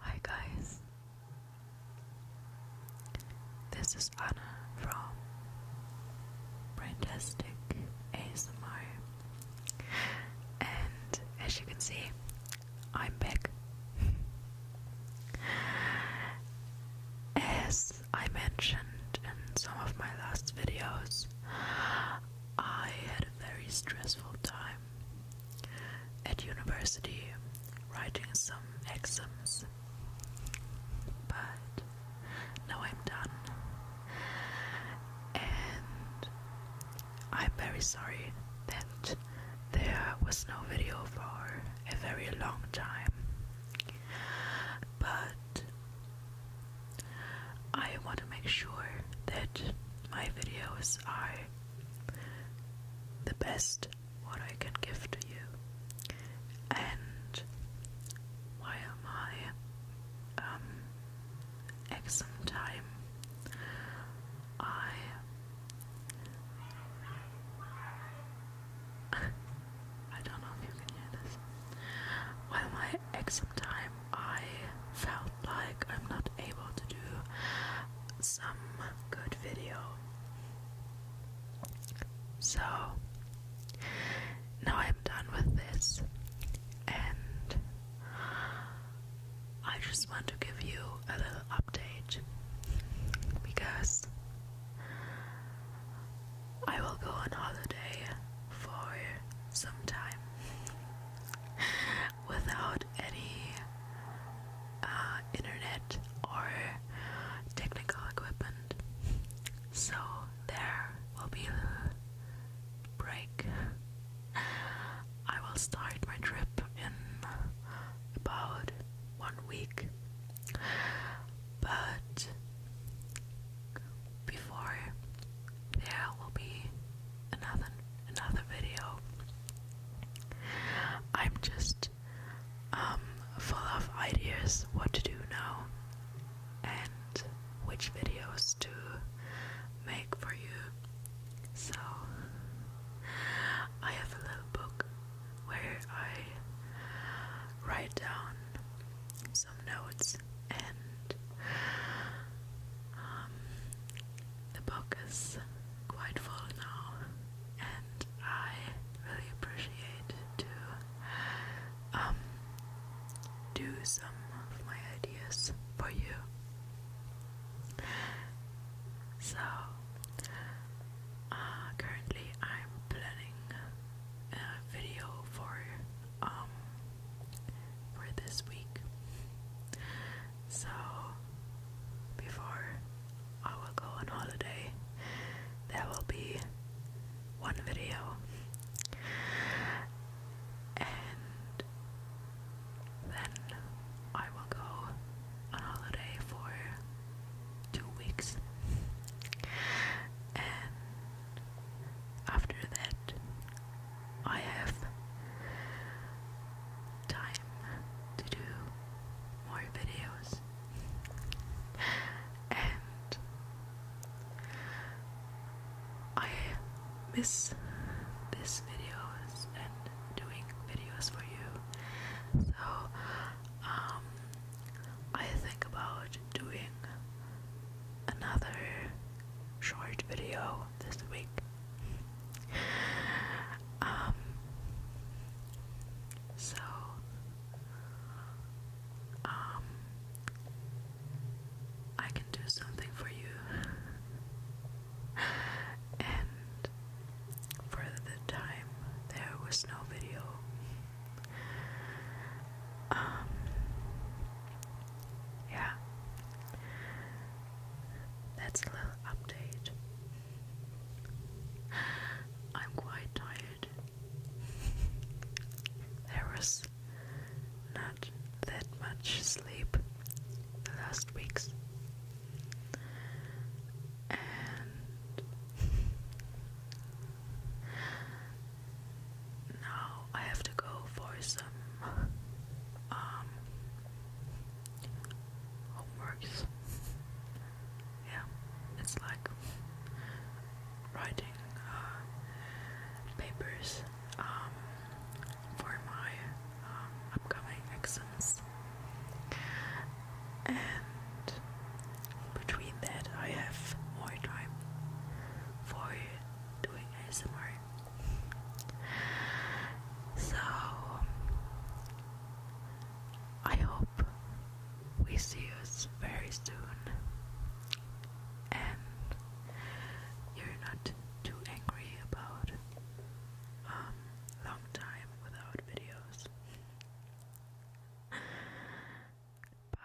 Hi guys, this is Anna from Fantastic ASMR, and as you can see, I'm back. As I mentioned in some of my last videos, I had a very stressful time at university writing some exams, but now I'm done, and I'm very sorry that left, there was no video for a very long time. But I want to make sure that my videos are the best what I can give to you. And why am I um at some time I I don't know if you can hear this. While my exam time, I felt like I'm not able to do some good video. So now I'm done with this, and I just want to give you a little update because I will go on holiday for some time without any uh, internet or technical equipment. So there will be a break I will start my trip in about one week. But before there will be another another video. I'm just um, full of ideas what to do now and which videos to make for you so, I have a little book where I write down some notes, and um, the book is quite full now, and I really appreciate to um, do some of my ideas for you. So, uh, currently I'm planning a video for um for this week. So before I will go on holiday, there will be one video and then I will go on holiday for two weeks, and after that, I have time to do more videos. And I miss this videos and doing videos for you. So um, I think about doing another short video this week. Um, so um, I can do something for you. and for the time, there was no video. Um, yeah. That's a little update. I'm quite tired there was not that much sleep the last weeks, and now I have to go for some um, homeworks yeah, it's like writing uh, papers um, for my um, upcoming exams, and between that, I have more time for doing ASMR. So I hope we see us very soon and you're not too angry about um, long time without videos. Bye.